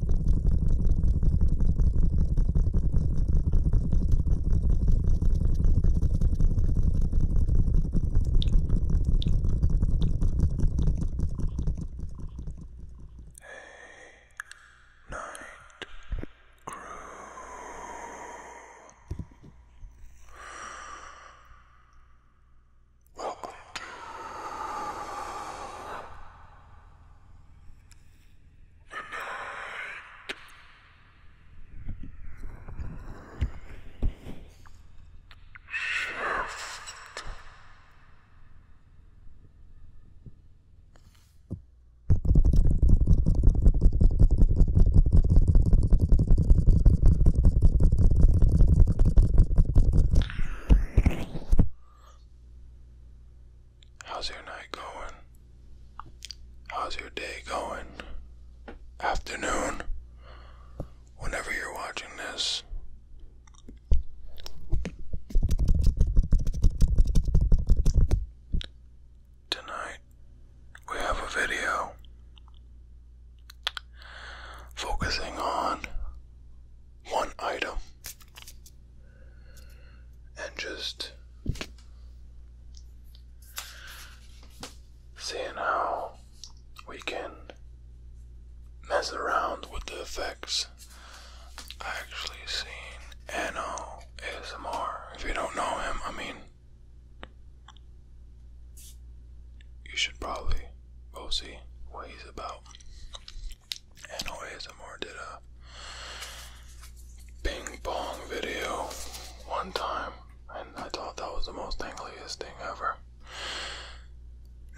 A night crew. Welcome to the night shift. How's your night going? How's your day going? Afternoon? Whenever you're watching this. Tonight, we have a video focusing on one item and just seeing how we can mess around with the effects. I actually seen Anno ASMR. If you don't know him, I mean, you should probably go see what he's about and OASMR did a ping pong video one time, and I thought that was the most angliest thing ever.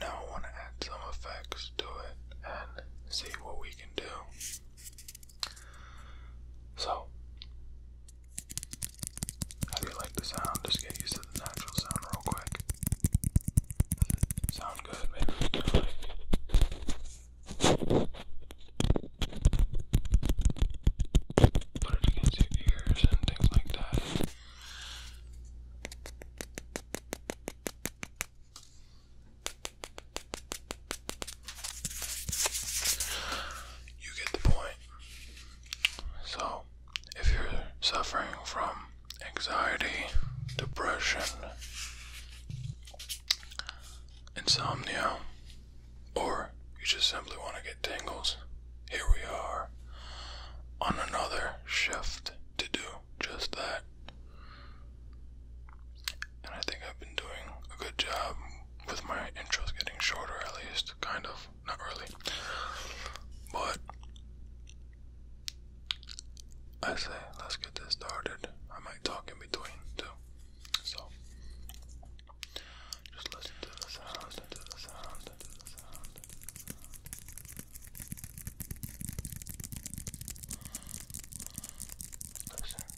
Now I want to add some effects to it and see what we can do. So, how do you like the sound? Just get used to the natural sound real quick. Sound good, maybe. Put it against your ears and things like that. You get the point. So, if you're suffering from anxiety, depression, insomnia, or you just simply want to get tingles, here we are on another shift to do just that. And I think I've been doing a good job with my intros getting shorter, at least, kind of, not really. But I say, let's get this started. I might talk in between too. So, just listen to the sound, listen to the sound, Listen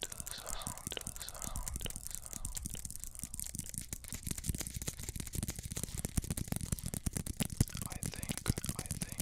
to the sound, to to the sound. I think, I think,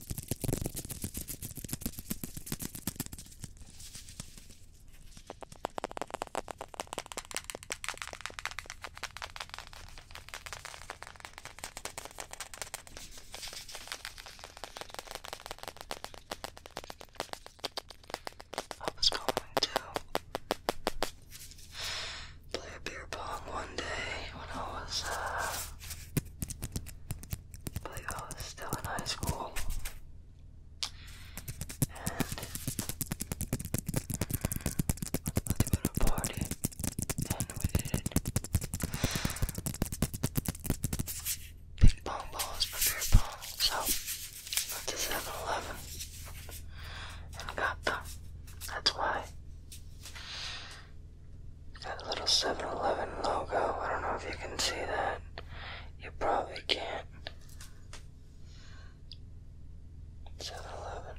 I was going to play a beer pong one day when I was uh, I was still in high school. And I was to a party. And we did it. Big pong balls for beer pong. So, went to 7 and got them. That's why that little 7 Eleven logo, I don't know if you can see that. You probably can't. 7 Eleven.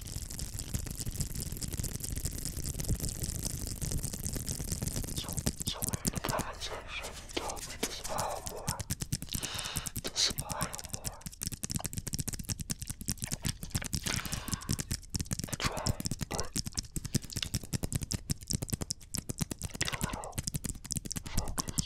So, so in the comment section, tell me to smile more. To smile more. I try, but it's a little focused.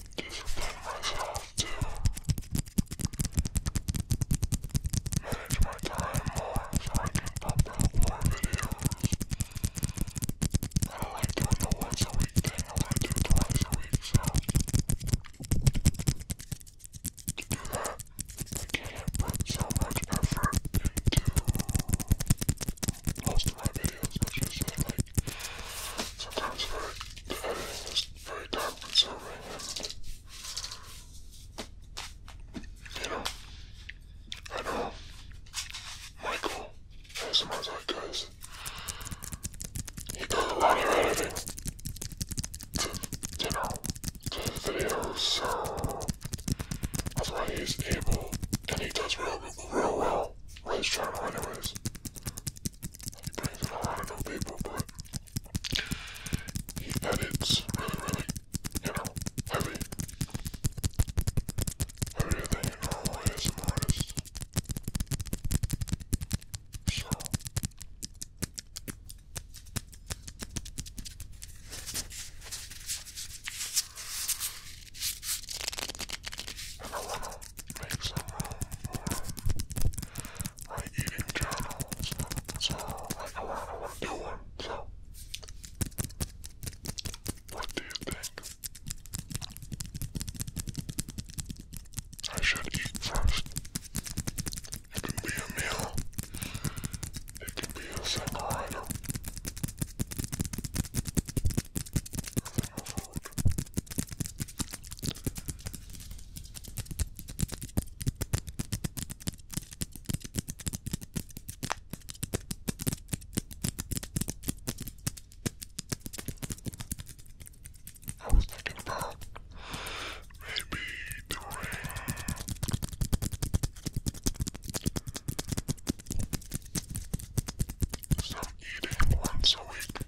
you should memorize it all to manage my time more so I can pump out more videos. I don't like doing the once a week thing, I want to do twice a week, so to do that, I can't put so much effort into most of my videos, which is like sometimes for the editing is very time consuming and you know, I know Michael ASMR Zeitgeist, he does a lot of editing to, you know, to his videos, so that's why he's able, and he does real, real well with his channel anyways. He plays with a lot of new but he edits really, really, you know, heavy. Heavier than your normal ASM artist. So make some room for So, I do one. So, what do you think? I should eat first. It can be a meal. It can be a single I was thinking about maybe doing some eating once a week.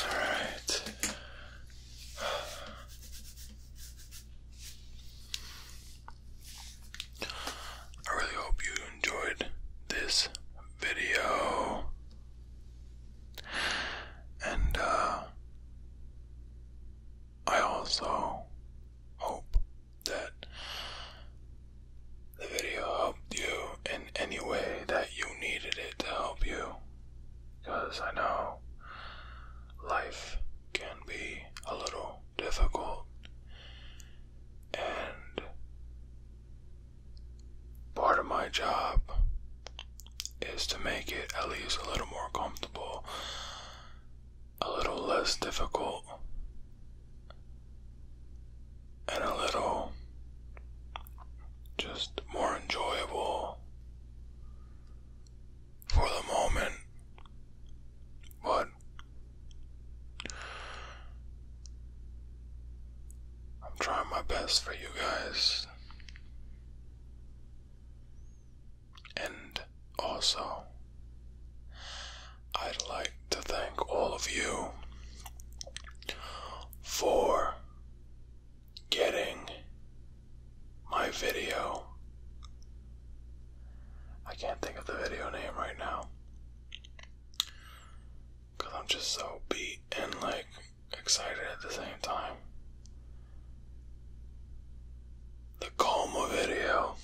All right. I really hope you enjoyed this video. And uh, I also hope that the video helped you in any way that you needed it to help you. Because I know life can be a little difficult. And part of my job is to make it at least a little more comfortable, a little less difficult, and a little just more enjoyable for the moment, but I'm trying my best for you guys. And also, I'd like to thank all of you for getting my video. I can't think of the video name right now. Because I'm just so beat and like excited at the same time. The coma video,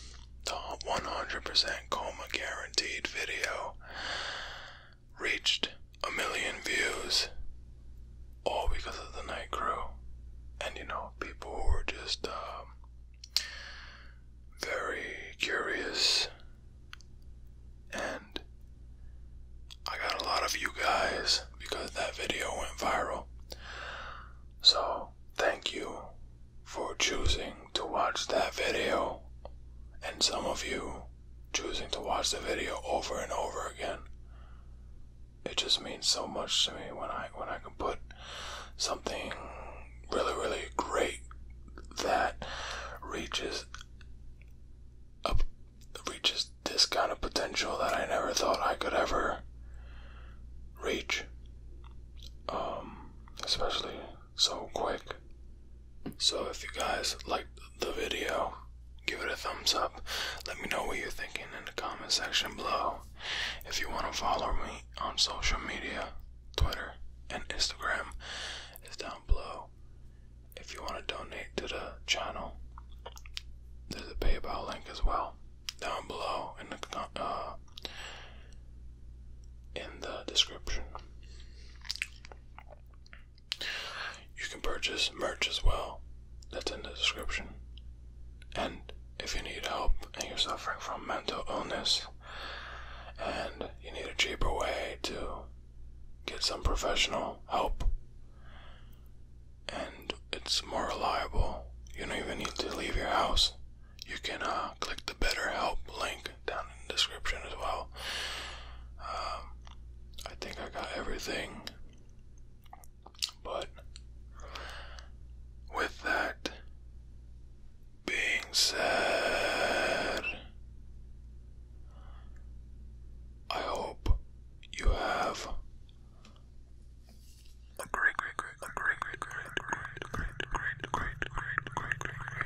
the 100% coma guaranteed video reached a million views, all because of the night crew, and you know, people who were just um, very curious, and I got a lot of you guys because that video went viral. So, thank you for choosing to watch that video, and some of you choosing to watch the video over and over again. It just means so much to me when I when I can put something really really great that reaches up reaches this kind of potential that I never thought I could ever reach. Um, especially so quick. So if you guys liked the video, give it a thumbs up. Let me know what you're thinking in the comment section below. If you want to follow me on social media, Twitter and Instagram is down below. If you want to donate to the channel, there's a PayPal link as well down below in the uh, in the description. You can purchase merch as well, that's in the description. And if you need help and you're suffering from mental illness and you need a cheaper way to get some professional help, and it's more reliable, you don't even need to leave your house. You can uh, click the BetterHelp link down in the description as well. I think I got everything, but with that being said, I hope you have a great, great, great, a great, great, great, great, great, great, great, great, great, great, great, great, great, great, great,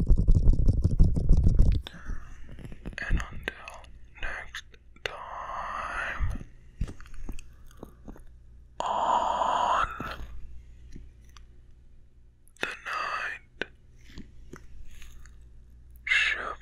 And until next time, on the night shift.